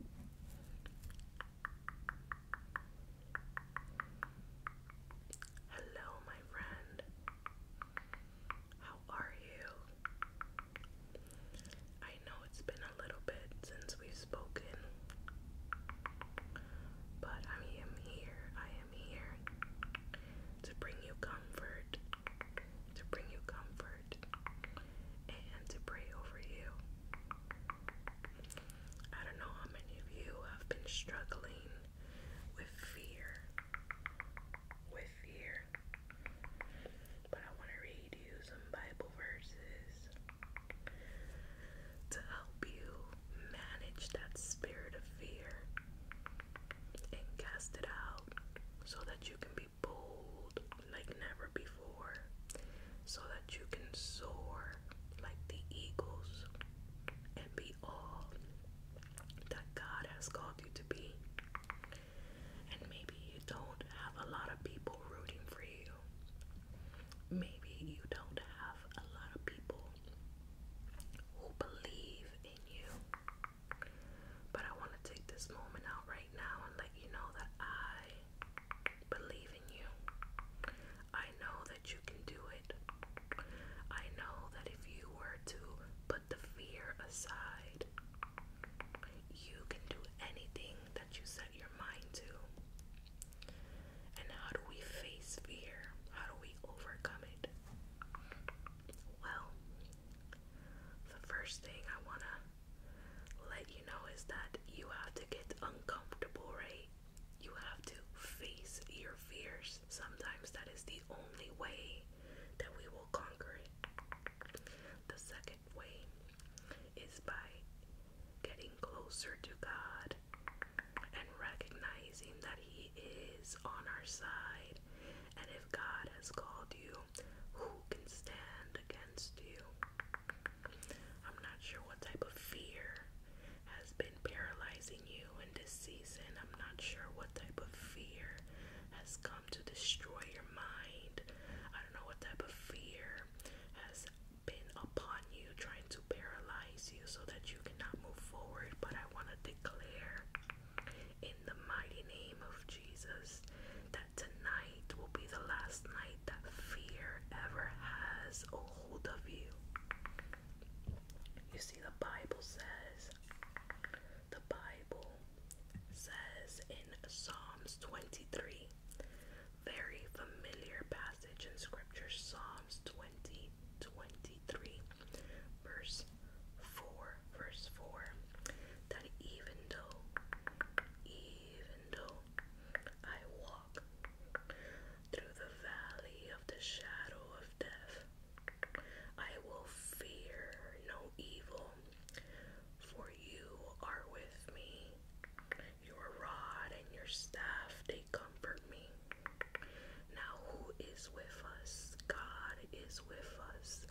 Hello, my friend. How are you? I know it's been a little bit since we've spoken, but I am here. I am here to bring you comfort. To bring you comfort and to pray over you. I don't know how many of you have been struggling with fear. With fear. But I want to read you some Bible verses to help you manage that spirit of fear and cast it out so that you can be bold like never before, so that you can soar like the eagles and be all that God has called you to be. And maybe you don't have a lot of people rooting for you. Maybe you don't have a lot of people who believe in you. But I want to take this moment out right now and let you know that I believe in you. I know that you can do it. I know that if you were to put the fear aside, you can do anything that you set your mind to. And how do we face fear? How do we overcome it? Well, the first thing I want to let you know is that you have to get uncomfortable, right? You have to face your fears. Sometimes that is the only way that we will conquer it. The second way is by getting closer to God and recognizing that He is on our side. And if God has called you who can stand against you? I'm not sure what type of fear has been paralyzing you in this season. I'm not sure what type of fear has come to destroy your mind. I don't know what type of fear has been upon you, trying to paralyze you so that you cannot move forward. But I want to declare in the mighty name of Jesus that tonight will be the last night that fear ever has a hold of you. You see, the Bible says, the Bible says in Psalms 23, very familiar passage in Scripture, Psalms 20, 23, verse 4, verse 4 that even though, even though I walk through the valley of the shadow of death, I will fear no evil, for you are with me. Your rod and your staff, they comfort me. Now, who is with us? God is with us.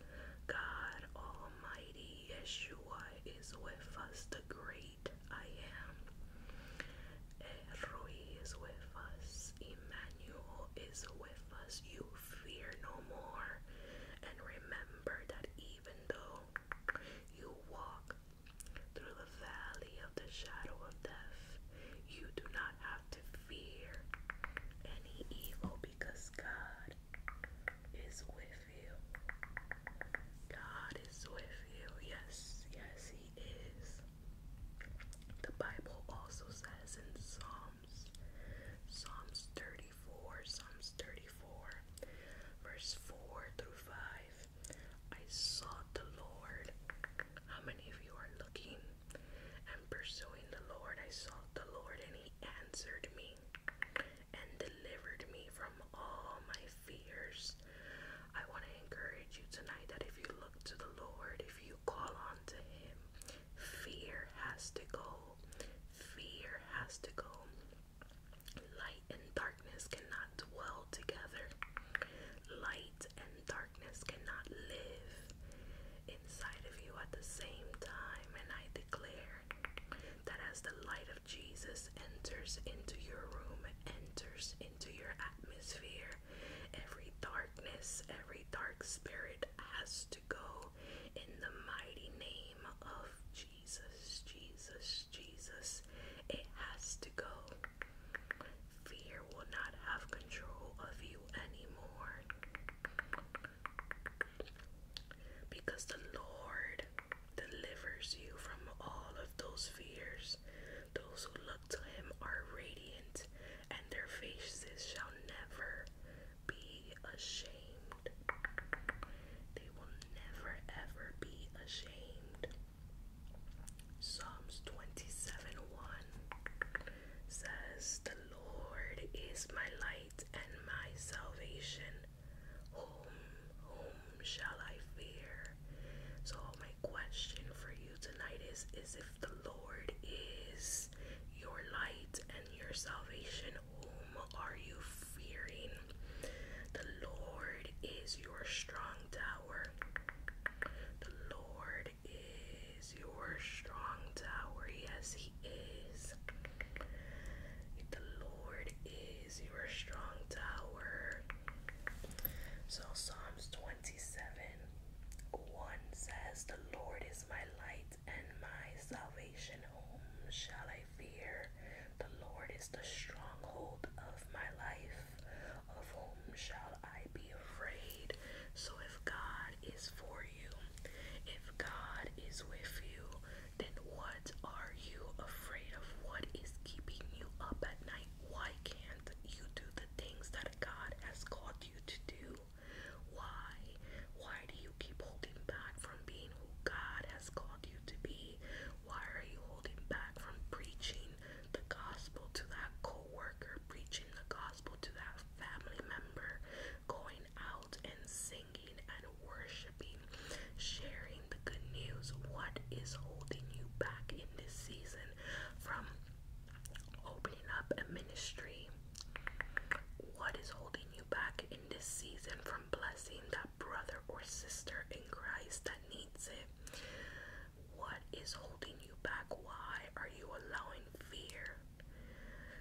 God Almighty Yeshua is with us, the great I am. Eroi is with us, Emmanuel is with us. You fear no more. And remember that even though you walk through the valley of the shadow of death, you do not have to fear any evil because God is with God is with Yes, yes, He is. The Bible also says in Psalms, Psalms 34, Psalms 34, verse 4 through 5, I sought the Lord. How many of you are looking and pursuing the Lord? I sought the Lord and He answered me and delivered me from all my fears. I want to encourage you tonight that if you look to the Lord, if you call on to Him, fear has to go. Fear has to go. Light and darkness cannot dwell together. Light and darkness cannot live inside of you at the same time. And I declare that as the light of Jesus enters into your room, enters into your atmosphere, every darkness, every dark spirit has to go in the mighty name of Jesus, Jesus, Jesus. It has to go. Fear will not have control of you anymore. Because the Lord delivers you from all of those fears. Those who look to him are radiant, and their faces shall never be ashamed. They will never ever be ashamed. Psalms 27 1 says, The Lord is my light and my salvation. Whom, whom shall I fear? So my question for you tonight is, is if the Lord is your light and your salvation, whom are you fearing? The Lord is your strong tower. The Lord is your strong tower. Yes, he is. The Lord is your strong tower. So Psalms 27 1 says, The Lord is my light and my salvation. Whom shall I fear? The Lord is the stronghold of my life. Of whom shall I be afraid? So if God is for if God is with you, then what are you afraid of? What is keeping you up at night? Why can't you do the things that God has called you to do? Why? Why do you keep holding back from being who God has called you to be? Why are you holding back from preaching the gospel to that co worker, preaching the gospel to that family member, going out and singing and worshiping, sharing the good news. What is holding you back in this season from opening up a ministry? What is holding you back in this season from blessing that brother or sister in Christ that needs it? What is holding you back? Why are you allowing fear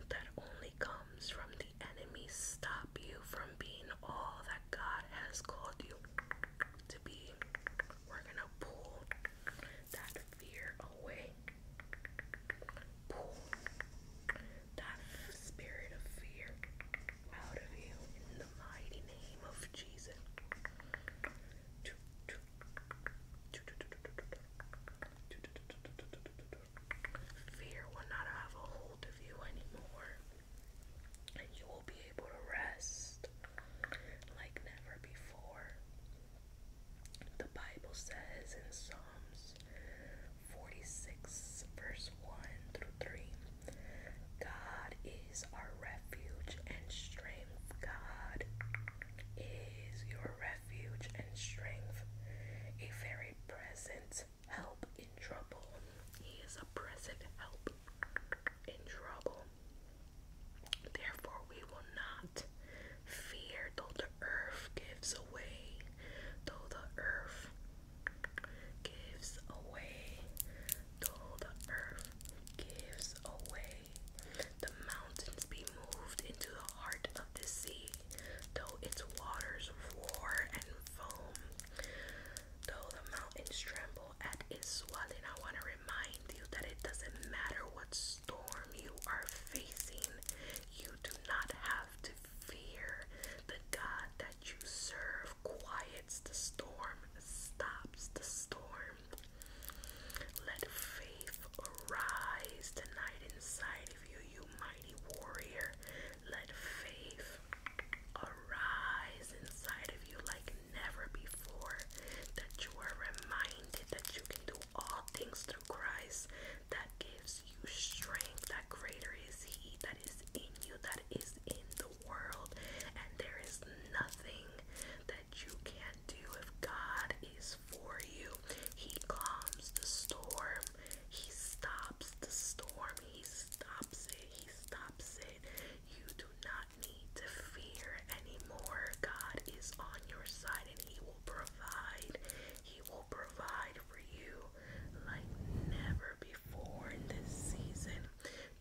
that only comes from the enemy stop you from being all that God has called you to be. We're going to pull that fear away. Pull that spirit of fear out of you in the mighty name of Jesus. Fear will not have a hold of you anymore, and you will be able to rest like never before. The Bible says in Psalms 46, verse 1 through 3 God is our refuge and strength, God is your refuge refuge and strength, a very present help in trouble. He is a present help in trouble. Therefore, we will not fear, though the earth gives away, though the earth gives away, though the earth gives away, the mountains be moved into the heart of the sea, though its waters roar and foam. Though the mountains tremble at its swelling, I want to remind you that it doesn't matter what storm you are facing, you do not have to fear. The God that you serve quiets the storm, stops the storm. Let faith brave. Arise tonight inside of you, you mighty warrior. Let faith arise inside of you like never before. That you are reminded that you can do all things through Christ. That gives you strength. That greater is He that is in you, that is in the world. And there is nothing that you can't do if God is for you. He calms the storm. He stops the storm. He stops it. He stops it. You do not need to fear anymore. God is on your side and He will provide. He will provide for you like never before in this season.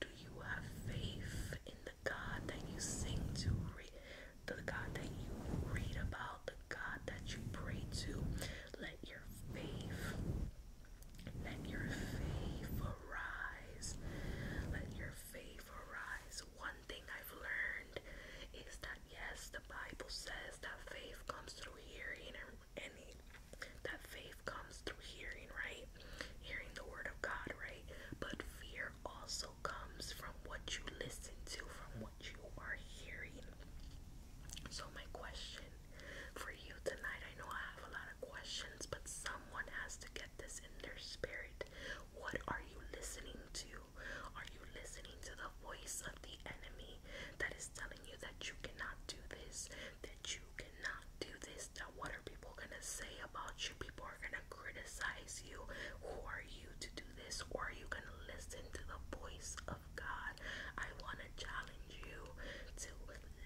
Do you have faith in the God that you sing to? the God that you read about, the God that you pray to. Let your faith, let your faith arise. Let your faith arise. One thing I've learned is that yes, the Bible says that faith comes through hearing and that faith comes through hearing, right? Hearing the word of God, right? But fear also comes from what you listen to, from what you are hearing. So, my question for you tonight I know I have a lot of questions, but someone has to get this in their spirit. What are you listening to? Are you listening to the voice of the enemy that is telling you that you cannot do this, that you cannot do this, that what are people gonna say about you? People are gonna criticize you. Who are you to do this? Or are you gonna listen to the voice of God? I wanna challenge you to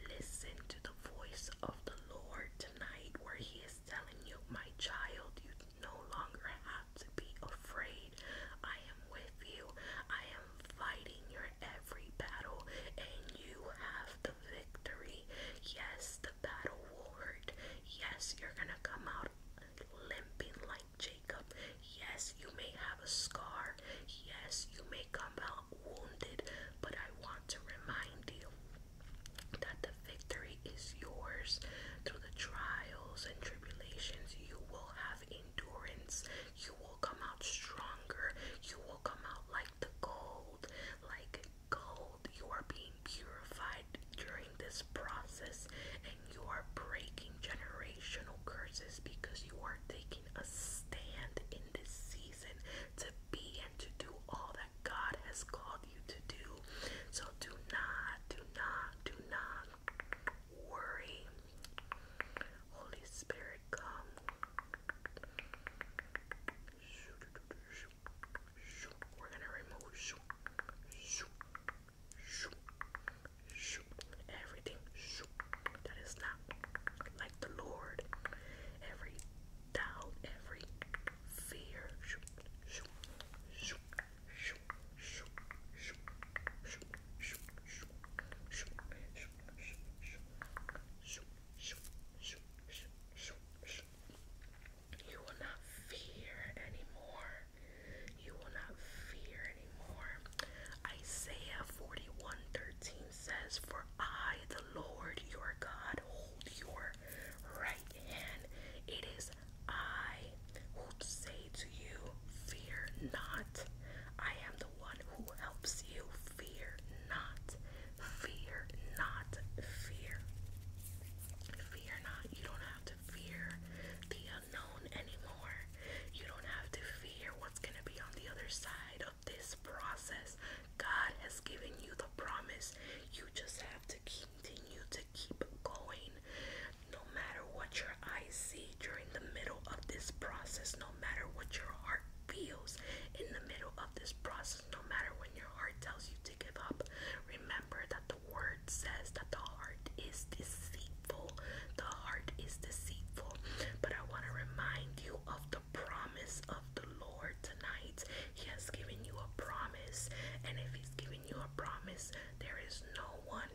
listen to the voice of the Lord tonight, where He is telling you, My child, you no longer have to be afraid. I am with you, I am fighting your every battle, and you have the victory. Yes, the battle will hurt. Yes, you're gonna come out limping like Jacob. Yes, you may have a scar. Yes, you may come out wounded, but I want to remind you that the victory is yours. Through the trials and tribulations, you will have endurance. You will come out stronger. You will come out like the gold, like gold. You are being purified during this process, and you are breaking generational curses because you are taking a stand in this season to be and to do all that God has called you to do. So do not, do not, do not worry. Holy Spirit, come we everything that is not like the Lord. Every doubt, every fear. You will not fear anymore. You will not fear anymore. Isaiah 41 13 says, For I, the Lord your God, hold your right hand. It is I who say to you, Fear not. I am the one who helps you. Fear not. Fear not. Fear fear not. You don't have to fear the unknown anymore. You don't have to fear what's going to be on the other side of this process. God has given you the promise. You just have to continue to keep going. No matter what your eyes see during the middle of this process, no matter what your heart feels in the middle of this process, no matter when your heart tells you to give up, remember that the word says that the heart is deceitful. The heart is deceitful. But I want to remind you of the promise of the Lord tonight. He has given you a promise. And if He's given you a promise, there is no one,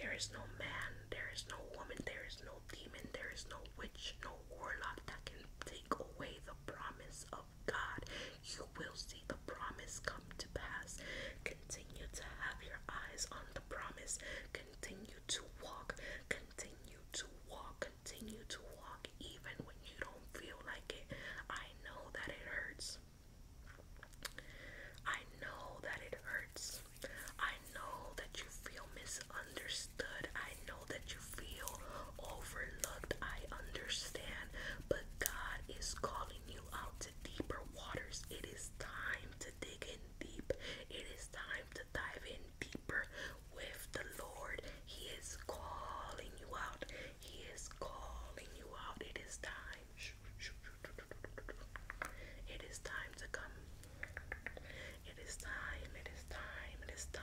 there is no man, there is no woman, there is no demon, there is no witch, no warlock that can take away the promise of. God, you will see the promise come to pass. Continue to have your eyes on the promise. Continue to walk. Continue to walk. Continue to walk even when you don't feel like it. I know that it hurts. I know that it hurts. I know that you feel misunderstood. I know that you feel overlooked. I understand, but God is calling you out to deeper waters. It is time to dig in deep, it is time to dive in deeper with the Lord. He is calling you out, He is calling you out. It is time. It is time to come. It is time. It is time. It is time.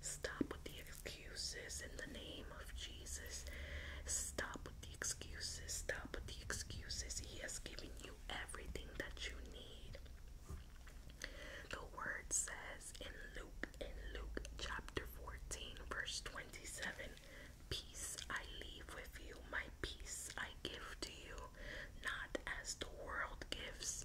Stop with the excuses in the name of Jesus. Stop with the excuses. Stop with the excuses. He has given you everything that you need. The word says in Luke, in Luke chapter 14, verse 27, Peace I leave with you, my peace I give to you, not as the world gives.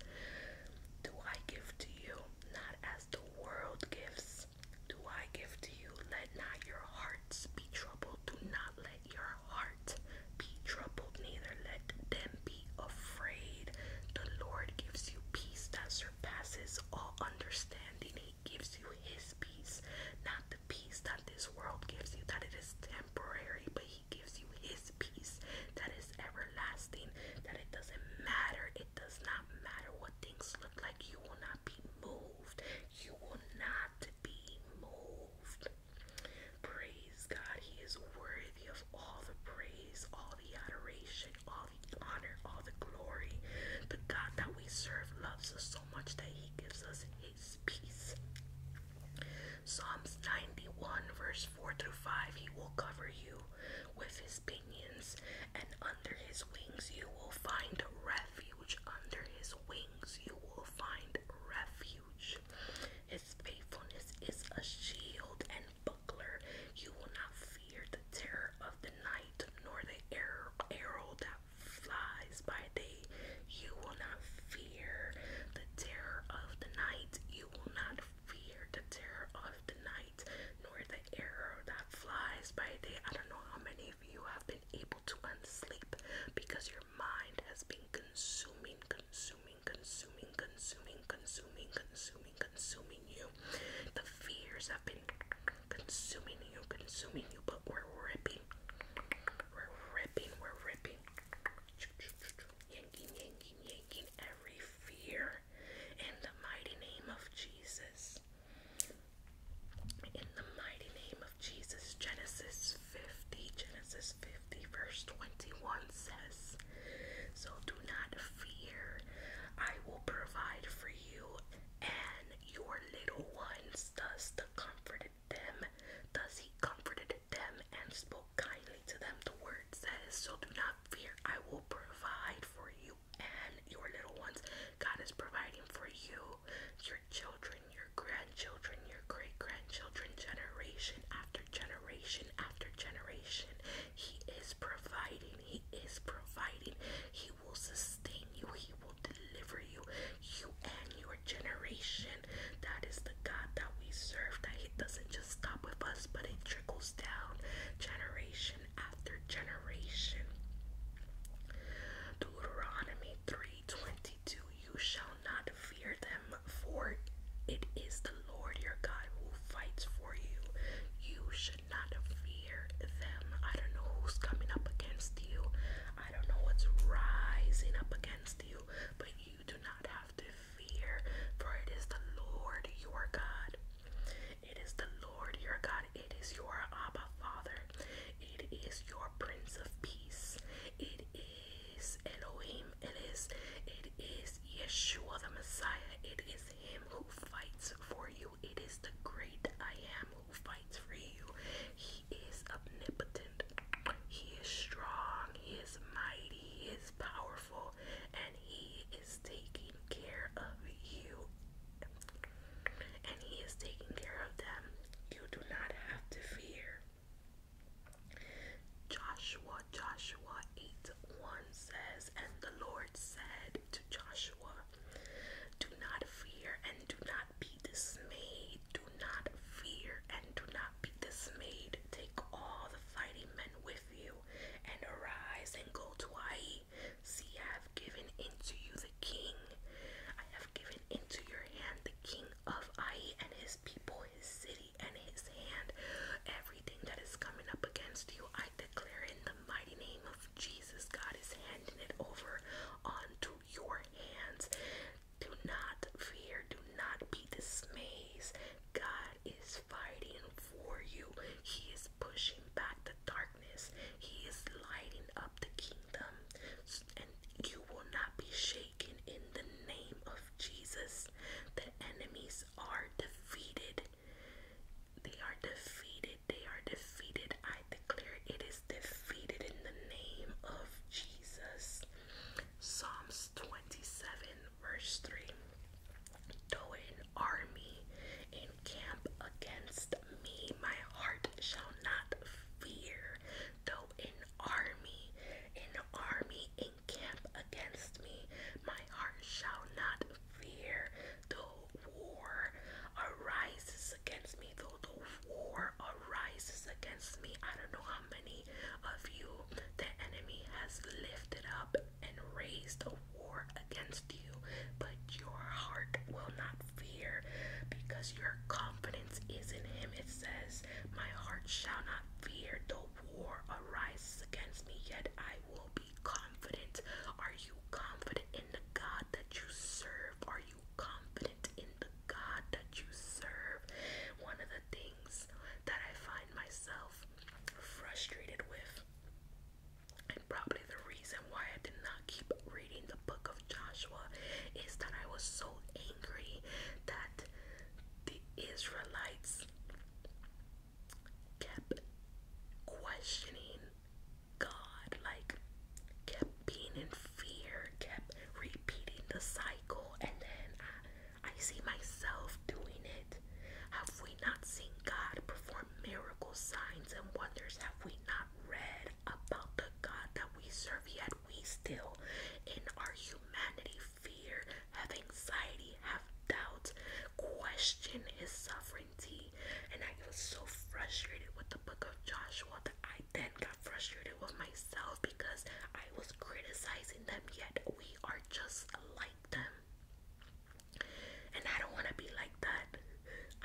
Do I give to you, not as the world gives, do I give to you. Let not your hearts be troubled. Do not let your heart be troubled, neither let them be afraid. The Lord gives you peace that surpasses all understanding. He gives you his peace, not the peace that this world gives you, that it is temporary, but he gives you his peace that is everlasting, that it doesn't matter does not matter what things look like. You will not be moved. You will not be moved. Praise God. He is worthy of all the praise, all the adoration, all the honor, all the glory. The God that we serve loves us so much that He gives us His peace. Psalms 91, verse 4 through 5 He will cover you with His his pinions, and under his wings you will find refuge. Under his wings you will find refuge. His faithfulness is a shield and buckler. You will not fear the terror of the night, nor the arrow, that flies by day. You will not fear the terror of the night. You will not fear the terror of the night, nor the arrow that flies by day. I don't know how many of you have been able to unsleep because your mind has been consuming, consuming, consuming, consuming, consuming, consuming, consuming you. The fears have been consuming you, consuming you, but we're ripping. We're ripping, we're ripping. Yanking, yanking, yanking every fear in the mighty name of Jesus. In the mighty name of Jesus, Genesis 50, Genesis 50, verse 21 says, So do not fear, I will provide for you and your little ones. Thus the comforted them, Does he comforted them and spoke kindly to them. The word word says. So do not fear, I will provide for you and your little ones. God is providing for you, your children, your grandchildren, your great grandchildren, generation after generation after generation. He is providing, He is providing, He will sustain you, He will deliver you, you and your generation. That is the God that we serve, that He doesn't just stop with us, but it trickles generation after generation. Deuteronomy 3:22 You shall not fear them, for it is the Lord your God who fights for you. You should not fear them. I don't know who's coming up against you. I don't know what's rising up against you, but you do not have to fear, for it is the Lord your God. It is the Lord your God. It is your Abba Father. It is your Prince of Peace. It is Elohim. It is it is Yeshua the Messiah. It is him who fights for you. It is the great I am who fights for you. He is omnipotent. He is strong. He is mighty. He is powerful. And he is taking care of you and He is taking care of them. You do not have to fear. Joshua, Joshua 8 1 says, And the Lord said to Joshua, Do not fear and do not be dismayed. Do not fear and do not be dismayed. Take all the fighting men with you and arise and go to Ai. See, I have given into you the king. I have given into your hand the king of Ai and his people, his city, and his hand. Everything that is coming up against you, I declare in the mighty name of Jesus, God is handing it over onto your hands. Do not fear, do not be dismayed. God is fighting for you. He is pushing back the darkness. He is lighting up the kingdom. And you will not be shaken in the name of Jesus. The enemies are defeated. They are defeated. They are defeated. I declare it is defeated in the name of Jesus. Psalms 27 Verse 3 Though an army encamp against me, my heart shall not fear. Though an army, an army encamp against me, my heart shall not fear. Though war arises against me, though the war arises against me, I don't know how many of you. The enemy has lifted up and raised a war against you, but your heart will not fear because your confidence is in him. It says, My heart shall not fear, though war arises against me, yet I will be confident. Are you confident in the God that you serve? Are you confident in the God that you serve? One of the things that I find myself frustrated with, and probably the reason why I did not keep reading the book of Joshua is that I was so angry that the Israelites kept questioning God, like kept being in fear, kept repeating the cycle, and then I, I see myself doing it. Have we not seen God perform miracles, signs, and wonders? Have we not read about the God that we serve? Yet we still, in our humanity, fear, have anxiety, have doubts, question His sovereignty. And I was so frustrated with the book of Joshua that I then got frustrated with myself because I was criticizing them, yet we are just like them. And I don't want to be like that.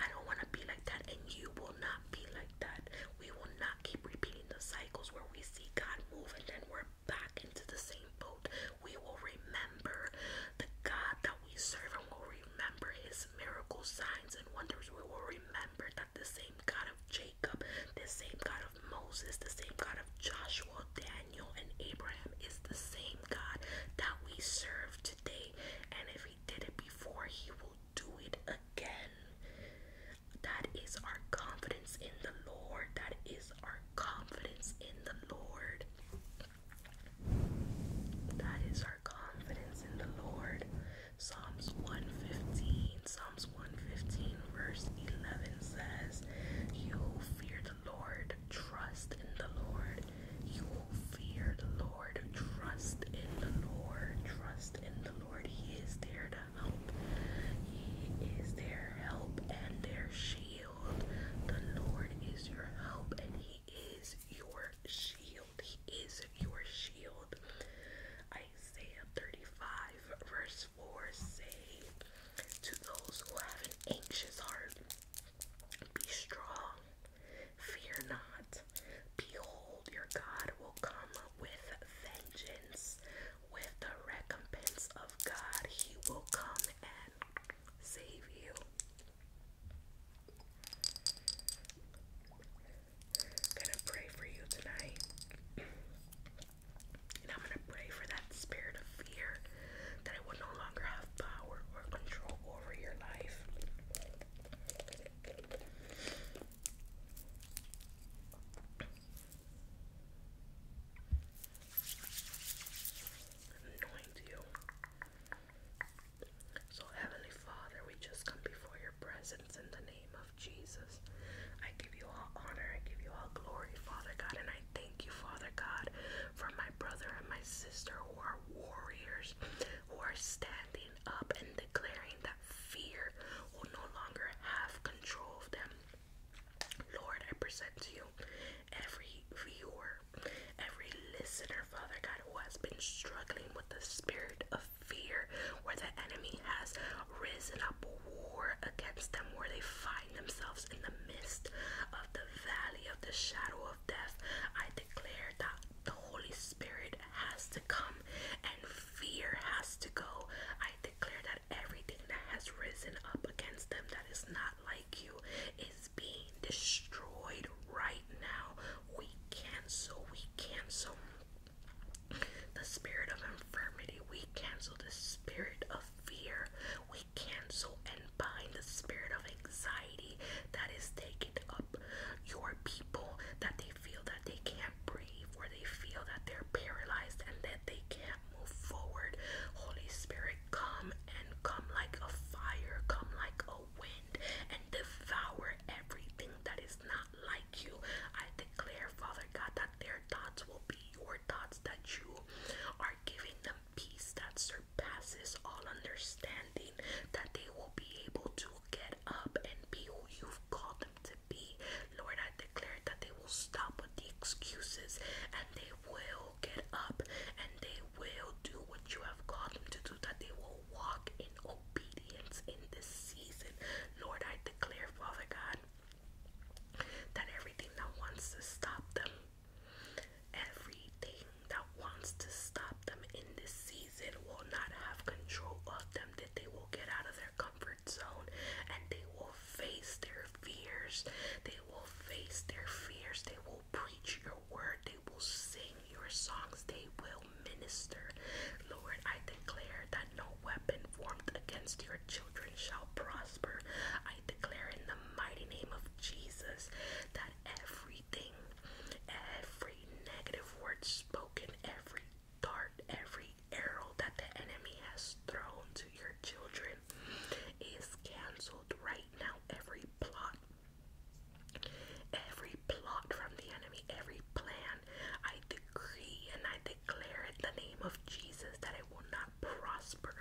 I don't want to be like that, and you will not be like that. We will not keep repeating the cycles where we see God move and then we're back into the same boat. We will remember the God that we serve and we will remember his miracle signs and wonders. We will remember that the same God of James the same God of Moses, the same God of Joshua, Daniel, and Abraham is the same God that we serve today. And if He did it before, He will do it again. That is our confidence in the Lord. That is our confidence in the Lord. That is our confidence in the Lord. Psalms 115, Psalms Psalms 115, verse 11 says, You who fear the Lord, trust in the Lord. You who fear the Lord, trust in the Lord. Trust in the Lord. He is there to help. He is their help and their shield. The Lord is your help and He is your shield. He is your shield. Isaiah 35, verse or 4 say, To those who have an anxious heart, be strong, fear not. Behold, your God will come with vengeance, with the recompense of God, He will come and save you. gonna pray for you tonight. And I'm going to pray for that spirit of fear that it will no longer have power or control over your life. Anoint you. So, Heavenly Father, we just come before your presence in the name of Jesus. I give you all honor. I give you all glory, Father God. And I thank you, Father God, for my brother and my sister who are warriors, who are standing up and declaring that fear will no longer have control of them. Lord, I present to you every viewer, every listener, Father God, who has been struggling with the spirit of fear where the enemy has risen up war against them where they find themselves in the midst of the valley of the shadow of death. I declare that the Holy Spirit has to come and fear has to go. I declare that everything that has risen up against them that is not like you is being destroyed right now. We cancel, we cancel the spirit of infirmity, we cancel the spirit of fear. We cancel and bind the spirit of anxiety that is taking up your people that they feel that they can't breathe or they feel that they're paralyzed and that they can't move forward. Holy Spirit, come and come like a fire, come like a wind and devour everything that is not like you. I declare, Father God, that their thoughts will be your thoughts, that you are giving them peace that surpasses all understanding, that they will be able to get up and be who you've called them to be. Lord, I declare that they will stop with the excuses and they will get up and they will do what you have called them to do, that they will walk in obedience in this season. Lord, I declare, Father God, that everything that wants to stop them, everything that wants to stop them in this season will not have control of them, that they will get out of their comfort zone and they will face their fears. They will face their fears. They will preach your word. They will sing your songs. They will minister. Lord, I declare that no weapon weapon formed against your children shall prosper. I declare in the mighty name of Jesus that everything, every negative word spoken, every dart, every arrow that the enemy has thrown to your children is canceled right now. Every plot, every plot from the enemy, every plan, I decree and I declare declare the name of Jesus that it will not prosper.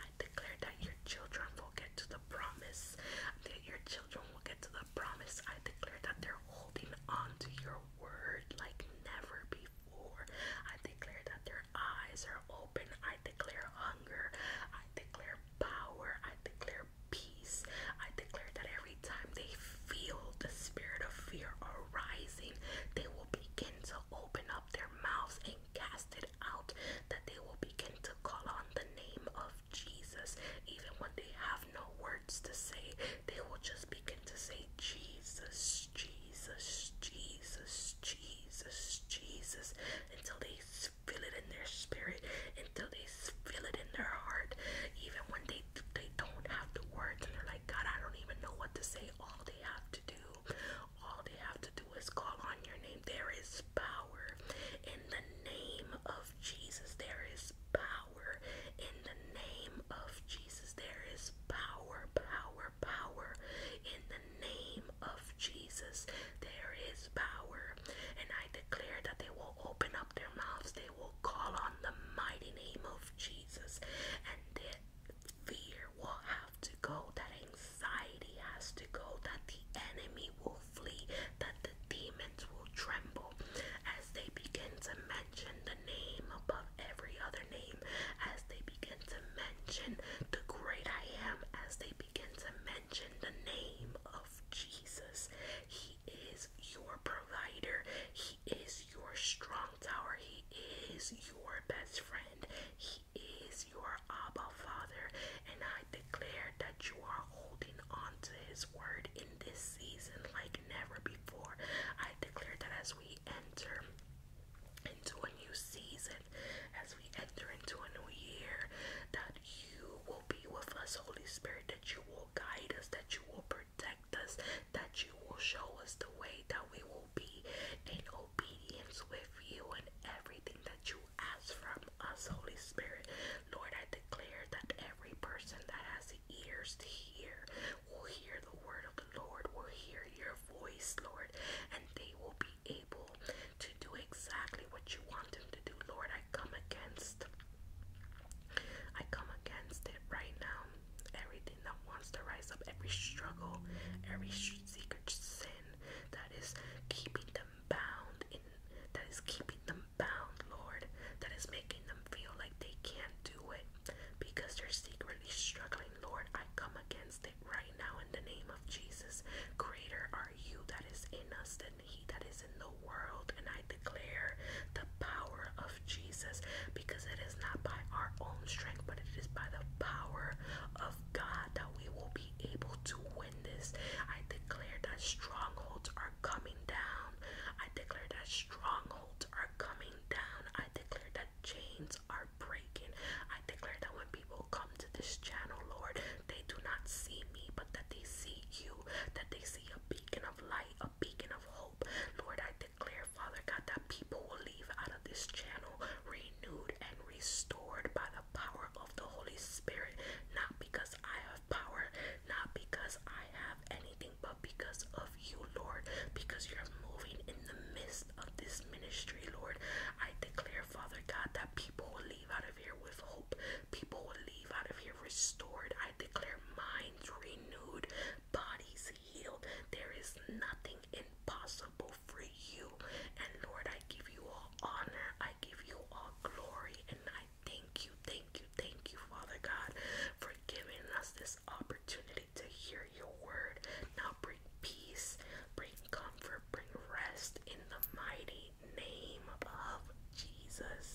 I declare that your children will get to the promise. That your children will get to the promise. I declare that they're holding on to your word like never before. I declare that their eyes are open. I declare hunger. I declare power. I declare peace. I declare that every every time they feel the spirit of fear arising, they will begin to open up their mouths and cast it out, that they will begin to call on the name of Jesus. Even when they have no words to say, they will just begin to say, Jesus, Jesus, Jesus, Jesus, Jesus, until they feel it in their spirit, until they feel it in their heart. Even when they, they don't have the words and they're God, I don't even know what to say. All they have to do, all they have to do is call on your name. There is power in the name of Jesus. There is power in the name of Jesus. There is power, power, power in the name of Jesus. There is power. And I declare that they will open up their mouths, they will call on the mighty name of Jesus. Jesus, and that fear will have to go, that anxiety has to go, that the enemy will flee, that the demons will tremble as they begin to mention the name above every other name, as they begin to mention the great I am, as they begin to mention the name of Jesus. He he is your provider. He is your strong tower. He is your best friend. He is your Abba Father. And I declare that you are holding on to His word in this season like never before. I declare that as we enter into a new season, as we enter into a new year, that you will be with us, Holy Spirit, that you will guide us, that you will protect us, that you will show us the way that we will be in obedience with you and everything that you ask from us, Holy Spirit. Lord, I declare that every person that has ears to hear will hear the word of the Lord, will hear your voice, Lord, and they will be able to do exactly what you want them to do, Lord. I come against I come against it right now. Everything that wants to rise up, every struggle, every secret sin that is keeping them bound that is keeping them bound, Lord, that is making them feel like they can't do it because they're secretly struggling, Lord. I come against it right now in the name of Jesus. Greater are you that is in us than he that is in the world, and I declare the power of Jesus because it is not by our own strength, but it is by the power of God that we will be able to win this. I declare that strongholds are coming down. I declare that strongholds are coming down. I declare that chains are breaking. I declare that when people come to this channel, Lord, they do not see me, but that they see you, that they see a beacon of light, a beacon of hope. Lord, I declare, Father God, that people will leave out of this channel renewed and restored by the power of the Holy Spirit. Not because I have power, not because I have anything, but because of you, Lord, because you're moving in the midst of this ministry, Lord. I declare, Father God, that people will leave out of here with hope. People will leave out of here restored. I I declare minds renewed, bodies healed. There is nothing impossible for you. And Lord, I give you all honor, I give you all glory, and I thank you, thank you, thank you, Father God, for giving us this opportunity to hear your word. Now bring peace, bring comfort, bring rest in the mighty name of Jesus.